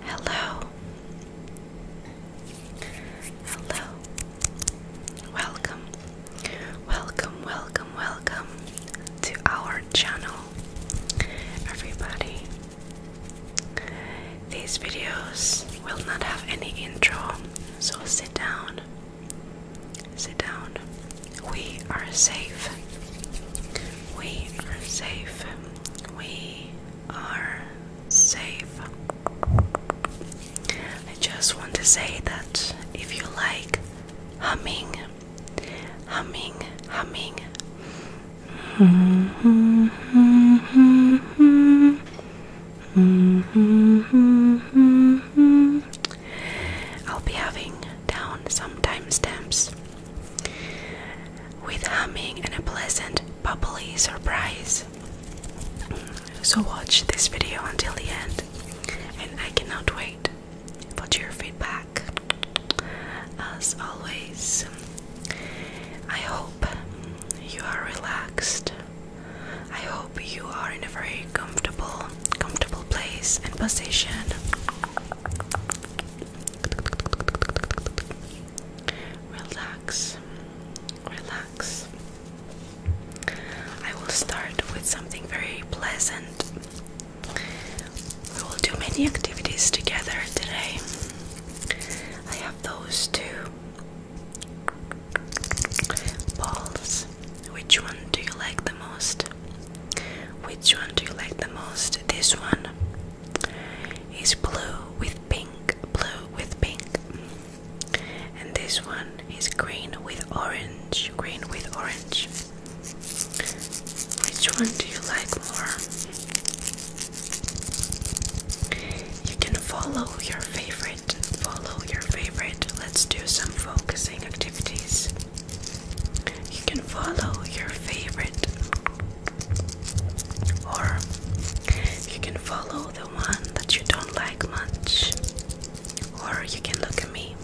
Hello. Hello. Welcome. Welcome, welcome, welcome to our channel. Everybody. These videos will not have any intro, so sit down. Sit down. We are safe. We are safe. We are safe. I just want to say that if you like humming, humming, humming. Mm -hmm, mm -hmm, mm -hmm, mm -hmm. I'll be having down some timestamps with humming and a pleasant bubbly surprise. So, watch this video until the end, and I cannot wait for your feedback. As always, I hope you are relaxed. I hope you are in a very comfortable, comfortable place and position. Relax, relax. I will start with something very pleasant. We will do many activities together today. I have those two balls. Which one do you like the most? Which one do you like the most? This one is blue with pink, blue with pink. And this one is green with orange, green with orange. Which one do you like more? You can follow your favorite. Follow your favorite. Let's do some focusing activities. You can follow your favorite, or you can follow the one that you don't like much, or you can look at me,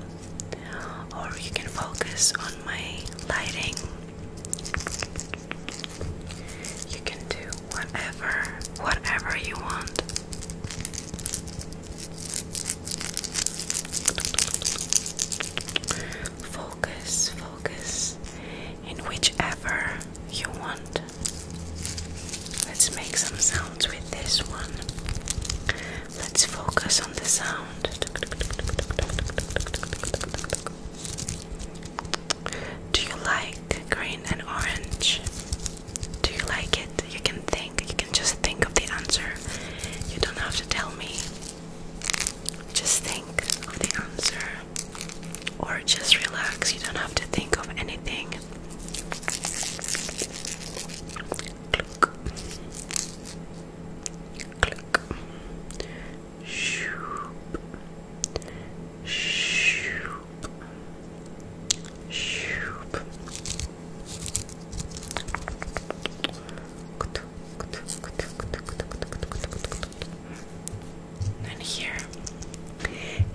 or you can focus on my lighting. You can do whatever, whatever you want. Focus, focus in whichever you want. Let's make some sounds with this one. Let's focus on the sound. Do you like green and orange? Do you like it? You can think. You can just think of the answer. You don't have to tell me. Just think of the answer. Or just relax. You don't have to think of anything. Click. Click. Shoop. Shoop. Shoop. And here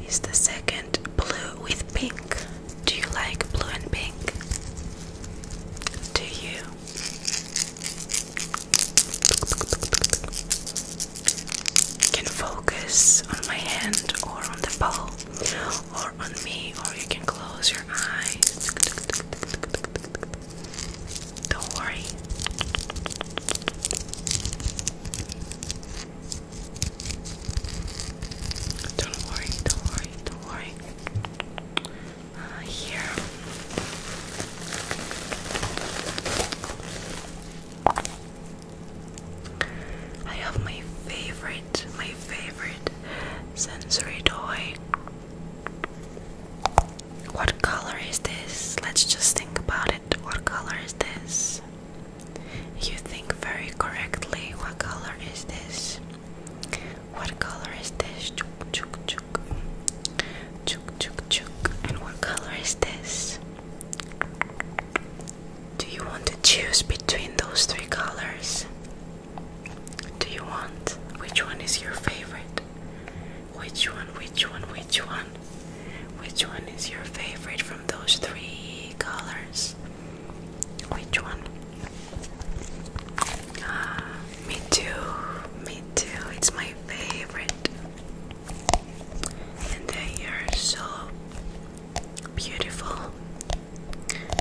is the second blue with pink. Do you like blue and pink? Do you? Can focus on my hand or on the ball or on me, or you can close your eyes. Don't worry. Don't worry, don't worry, uh, here. I have my favorite, my favorite sensory toy. What color is this? Let's just think about it. What color is this? You think very correctly. What color is this? What color is this? Chuk chuk chuk. Chuk chuk chuk. And what color is this? Do you want to choose between those three colors? do you want? Which one is your favorite? Which one, which one, which one? Which one is your favorite from those three colors? Which one? Ah, me too, me too. It's my favorite. And they are so beautiful.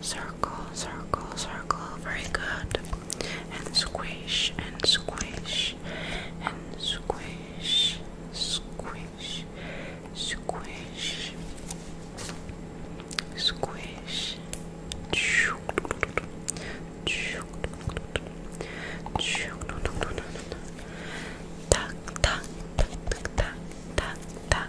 Circle, circle, circle. Very good. And squish, and squish, and squish, squish, squish, squish. Tuck, tuck, tuck, tuck, tuck, tuck,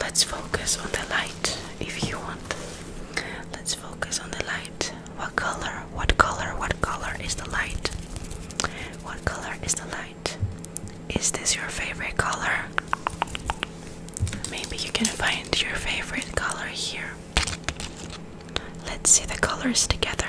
Let's focus on the light if you want. Let's focus on the light. What color? What color? What color is the light? What color is the light? Is this your favorite color? Maybe you can find your favorite color here. Let's see the colors together.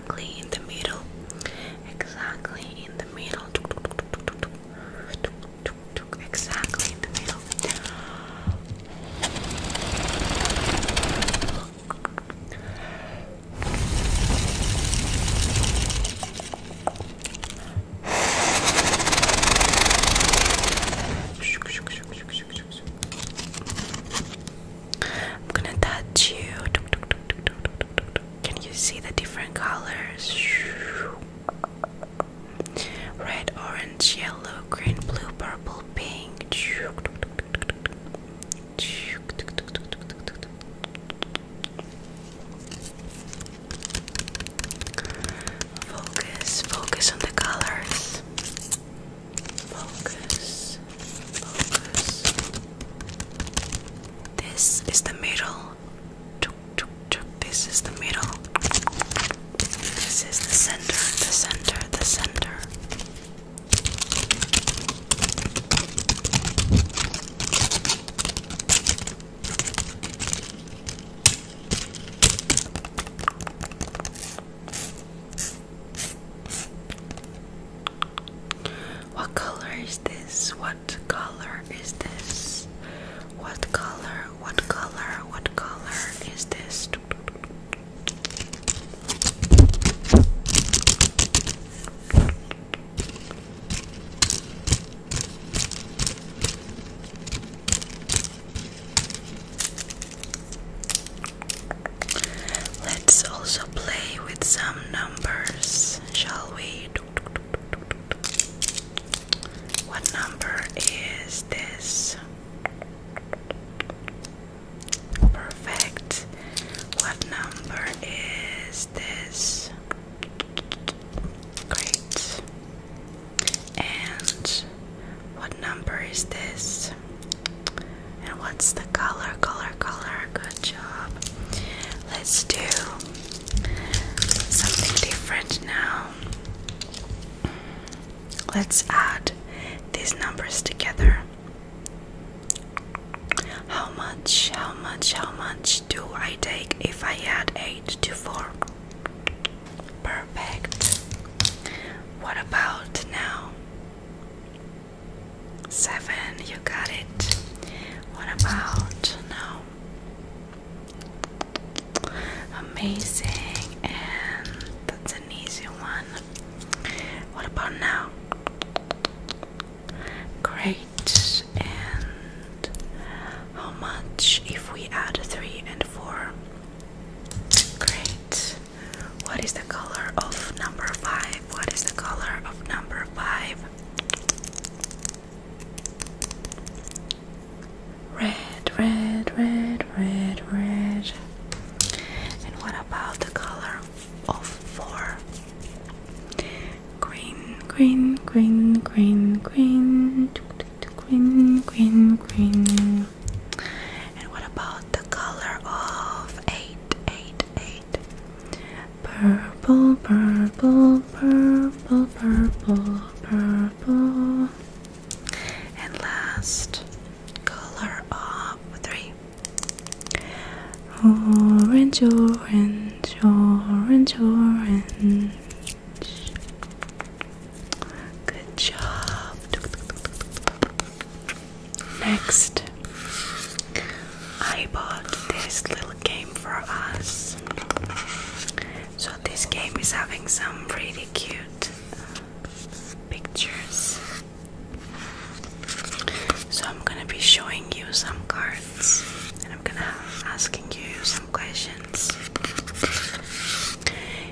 exactly in the middle, exactly in the middle, exactly in the middle. I'm gonna touch you. Can you see the different colors? Red, orange, yellow, green, blue, purple, pink. Focus, focus on the colors. Focus. Focus. This is the middle. This is the middle. This is the center, the center, the center. What color is this? What color is this? What color? What color? What color is this? Let's also play with some numbers, shall we? What number is this? Perfect. What number is this? Great. And what number is this? And what's the color? Color, color. Good job. Let's do something different now. Let's add these numbers together. How much, how much, how much do I take if I add 8 to 4? Perfect. What about now? Seven, you got it. What about now? Amazing, and that's an easy one. What about now? Great, and how much if we add three and four? Great. What is the color of number five? What is the color of number five? Red, red, red, red, red. And what about the color of four? Green, green, green, green, green, green, green, green. And what about the color of eight, eight, eight? Purple, purple, purple, purple, purple. And last, color of three. Orange, orange, orange, orange. Good job. Next, I bought this little game for us. So, this game is having some really cute pictures. So, I'm gonna be showing you some cards and I'm gonna asking you some questions.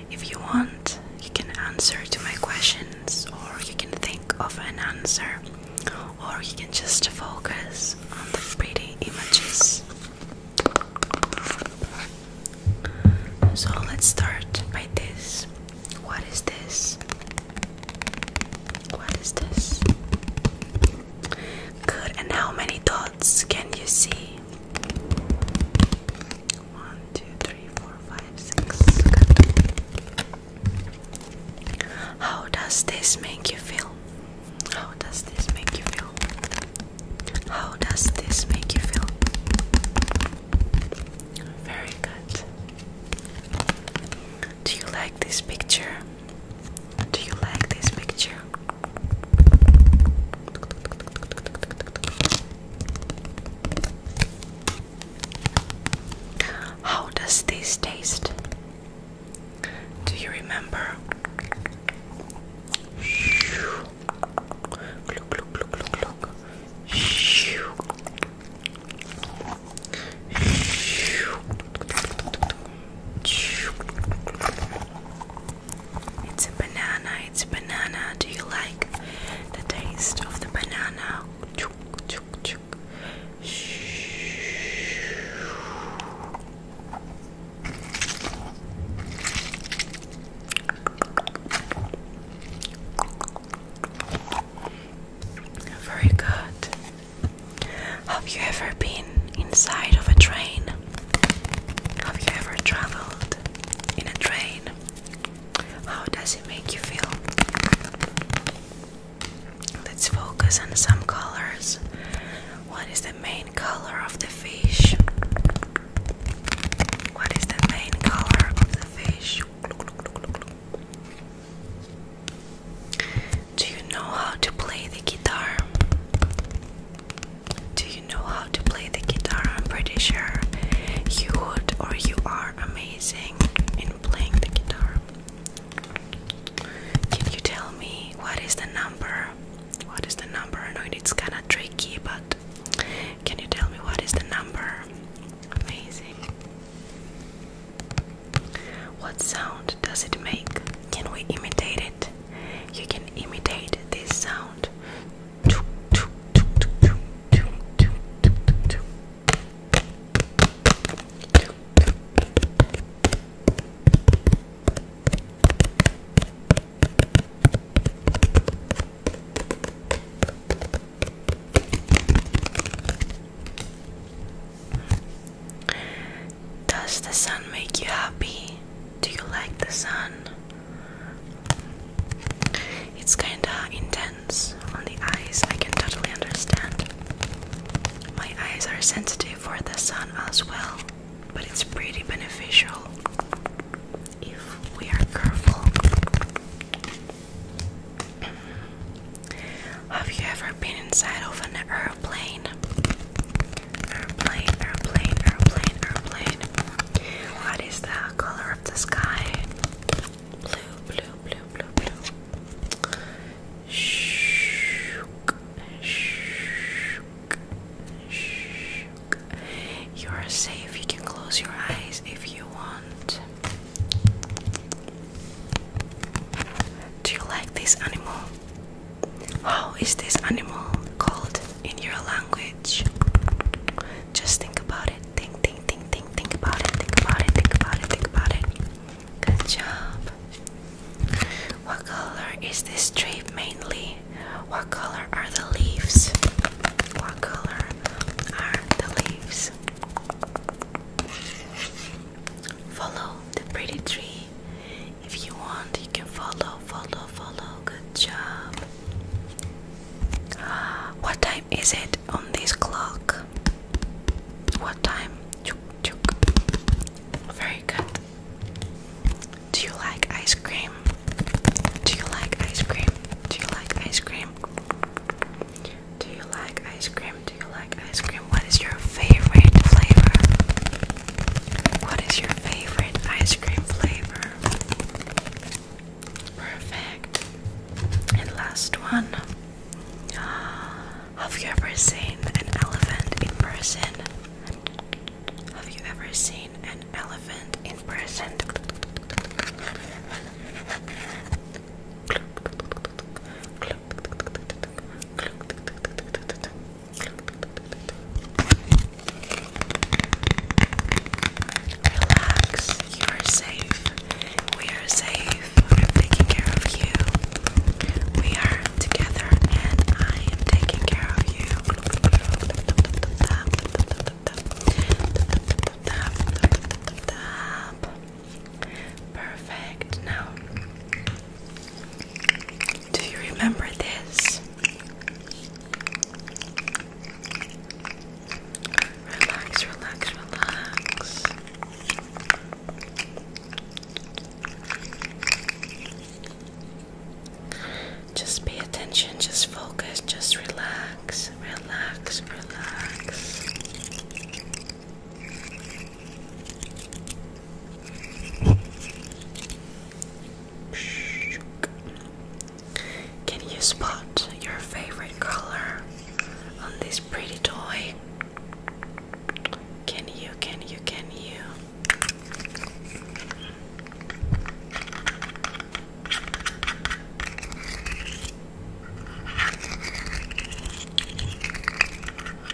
If you want, you can answer to my questions, or you can think of an answer, or you can just focus on the pretty images. So let's start by this. What is this? What is this? Good, and how many dots can you see? One, two, three, four, five, six. How does this make you feel? How does this make you feel? How does this make you feel? Very good. Do you like this picture? Do you like this picture? How does this taste? Do you remember? It's a banana, it's a banana. Do you like the taste of the banana? Very good. Have you ever been inside of a train? Have you ever traveled in a train? How does it make you feel? Let's focus on some colors. What is the main color of the fish? What is the main color of the fish? Do you know how to play the guitar? Do you know how to play the guitar? I'm pretty sure you would, or you are amazing in playing the guitar. Can you tell me what is the number? What is the number? I know it's kind of tricky, but can you tell me what is the number? Amazing. What sound does it make? Can we imitate it? You can imitate this sound. Does the sun make you happy? Do you like the sun? It's kinda intense on the eyes, I can totally understand. My eyes are sensitive for the sun as well, but it's pretty beneficial if we are careful. Have you ever been inside of an airplane? Airplane, airplane, airplane, airplane. What is the color of the sky? Blue, blue, blue, blue, blue. Shook, shook, shook. You are safe. You can close your eyes if you want. Do you like this animal? How is this animal called in your language? Just think about it. Think, think, think, think, think about it. Think about it. Think about it. Think about it. Good job. What color is this tree mainly? What color are the leaves? What color are the leaves? Follow the pretty tree. If you want, you can follow, follow, follow. Good job. What time is it on this clock? What time? Chuk, chuk. Very good. Do you like ice cream? Do you like ice cream? Do you like ice cream? Do you like ice cream? Do you like ice cream? What is your favorite flavor? What is your favorite ice cream flavor? Perfect. And last one. Have you ever seen an elephant in person? Have you ever seen an elephant in person? Relax, you are safe. We are safe. I'm taking care of you. We are together, and I am taking care of you. Perfect. Now do you remember this? Relax, relax, relax. Just pay attention, just focus, just relax, relax, relax. Can you spot your favorite color on this pretty toy? Can you, can you, can you?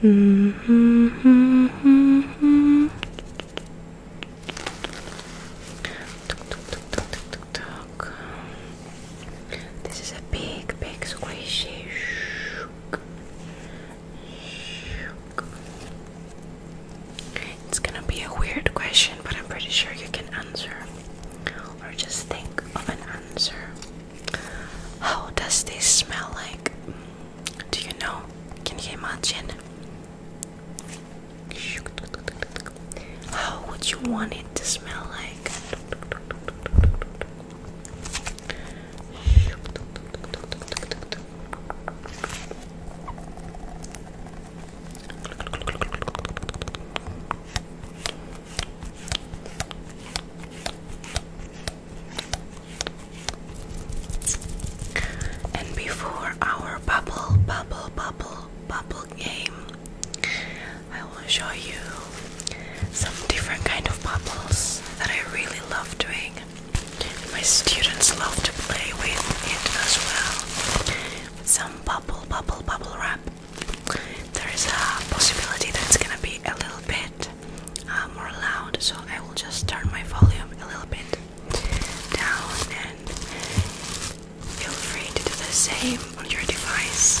Mm -hmm, mm -hmm, mm -hmm. Tuk, This is a big, big squishy. It's gonna be a weird question, but I'm pretty sure you can answer or just think of an answer. How does this smell like? Do you know? Can you imagine? How would you want it to smell like? And before our bubble, bubble, bubble, bubble game, I will show you some different kind of bubbles that I really love doing. My students love to play with it as well. some bubble, bubble, bubble wrap. There is a possibility that it's gonna be a little bit uh, more loud, so I will just turn my volume a little bit down and feel free to do the same on your device.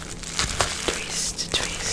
Twist, twist.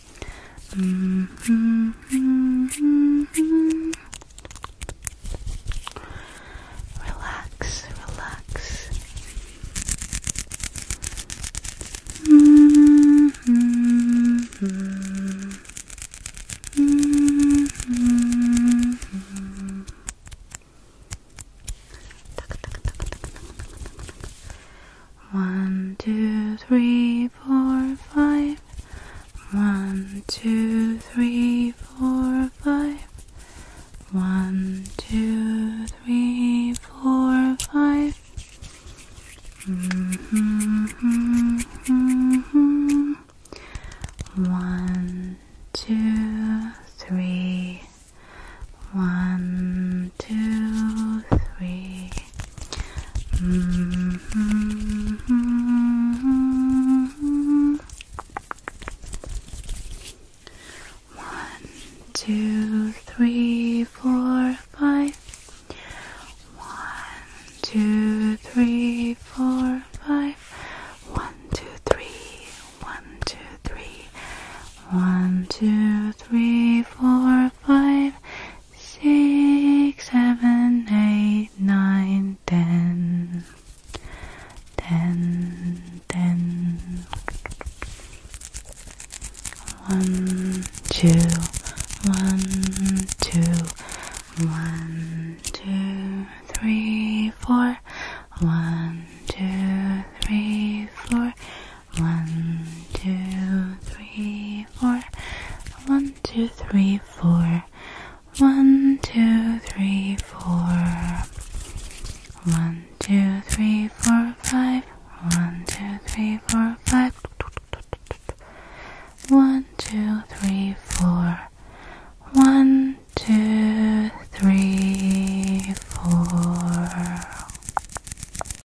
Mm -hmm, -hmm. Relax, relax. Mm -hmm. Mm -hmm. One, two, three, four, five. One, two, three, four, five. One, two, three, four, five. Mm -hmm, mm -hmm, mm -hmm. One, two, three. One, two, three. Mm -hmm. One, two, three, four, five. One, two, three, four, five. One, two, three. One, two, three. One, two, three, four, five six, seven, eight, nine, ten, ten, ten. One, two, one, two, one, two, three, four. One, two, three, four. One, two, three, four. One, two, three, four. One, two, three, four. One, two, three, four, five. One, two, three, four, five. One, two, three, four. One, two, three, four.